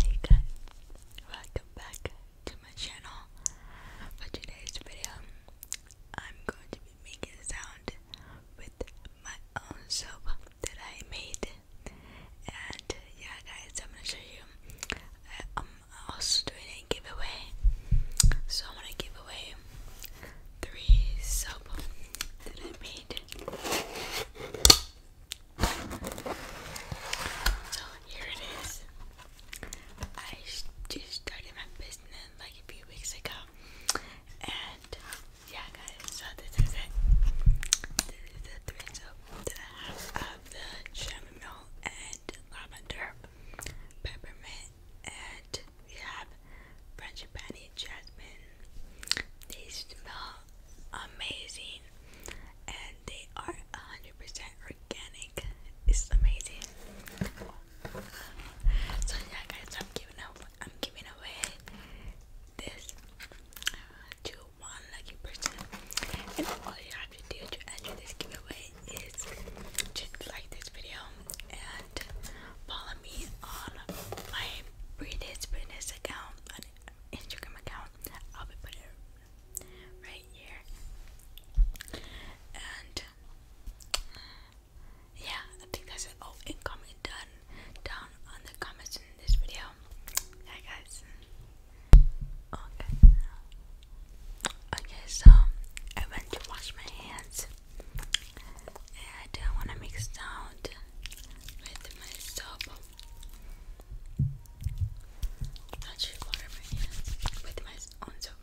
Hey guys, welcome back to my channel. For today's video, I'm going to be making a sound with my own soap that I made. And yeah, guys, I'm gonna show you. Uh, I'm also doing a giveaway, so I'm gonna give away three soap that I made. So here it is. I just started my business like a few weeks ago. And yeah, guys, so this is the three of the chamomile and lavender, peppermint, and we have frangipani jasmine. They amazing and they are 100% organic. It's amazing. So yeah guys, I'm giving up I'm giving away this uh, to one lucky person. And all you have to do to enter this giveaway is just like this video and follow me on my British business account Instagram account. I'll be putting it right here. And yeah, I think that's it. All oh, and comment down on the comments in this video. Yeah, guys. Okay. Okay, so I went to wash my hands. And I don't want to make sound with my soap. I should water my hands with my soap.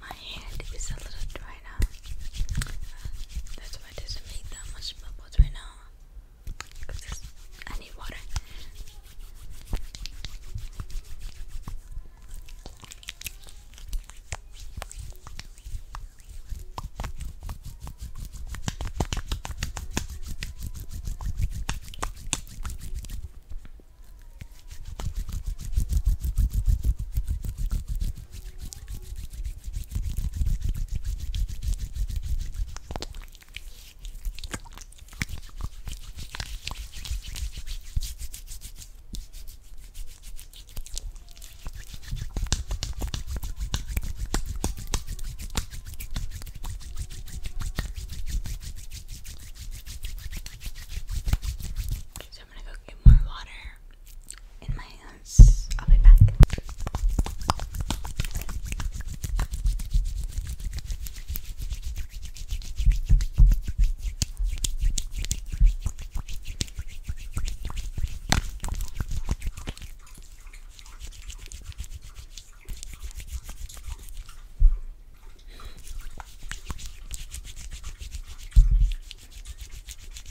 My hand is a little dry that's why it doesn't make that much bubbles right now. Cause I need water. Okay, so I'm gonna go get more water in my hands. I'll be back.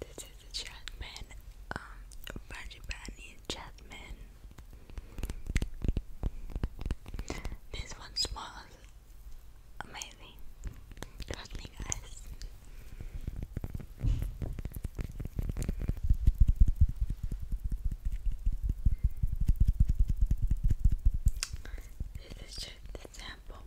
This is a Jasmine, um, Frangipani Jasmine. This one smells amazing. Trust me, guys. This is just the sample.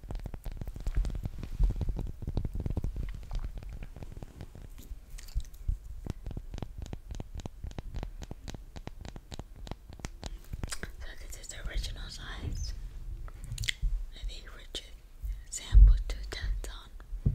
So this is original size that the Richard sample two tons on.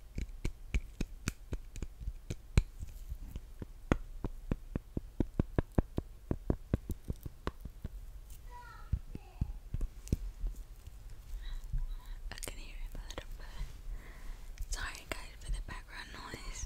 I can hear him a little bit. Sorry, guys, for the background noise.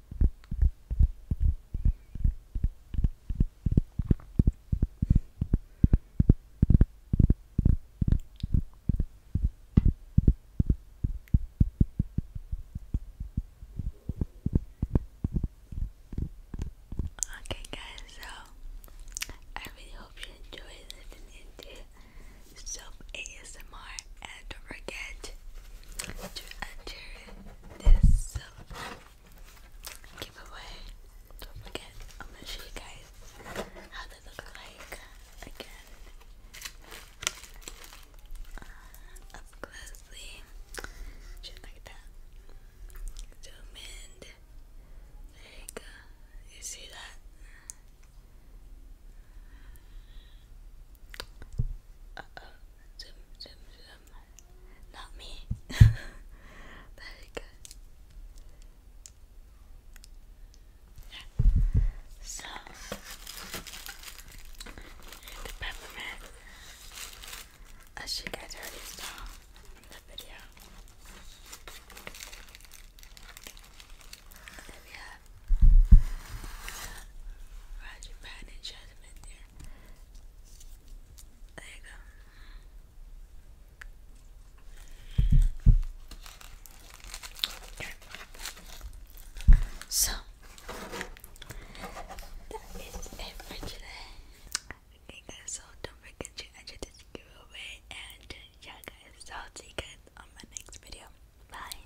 Okay, guys, so I really hope you enjoyed listening to Soap ASMR and don't forget to enter this giveaway. Don't forget, I'm gonna show you guys how they look like again. Uh, up closely, just like that. Zoom in. There you go. You see that? Uh oh. zoom, zoom. Not me. Very good. Yeah. So the peppermint as you guys already saw the video. And we have uh, the so that is it today. Okay guys, so don't forget to enter this giveaway and yeah guys, I'll see you guys on my next video. Bye.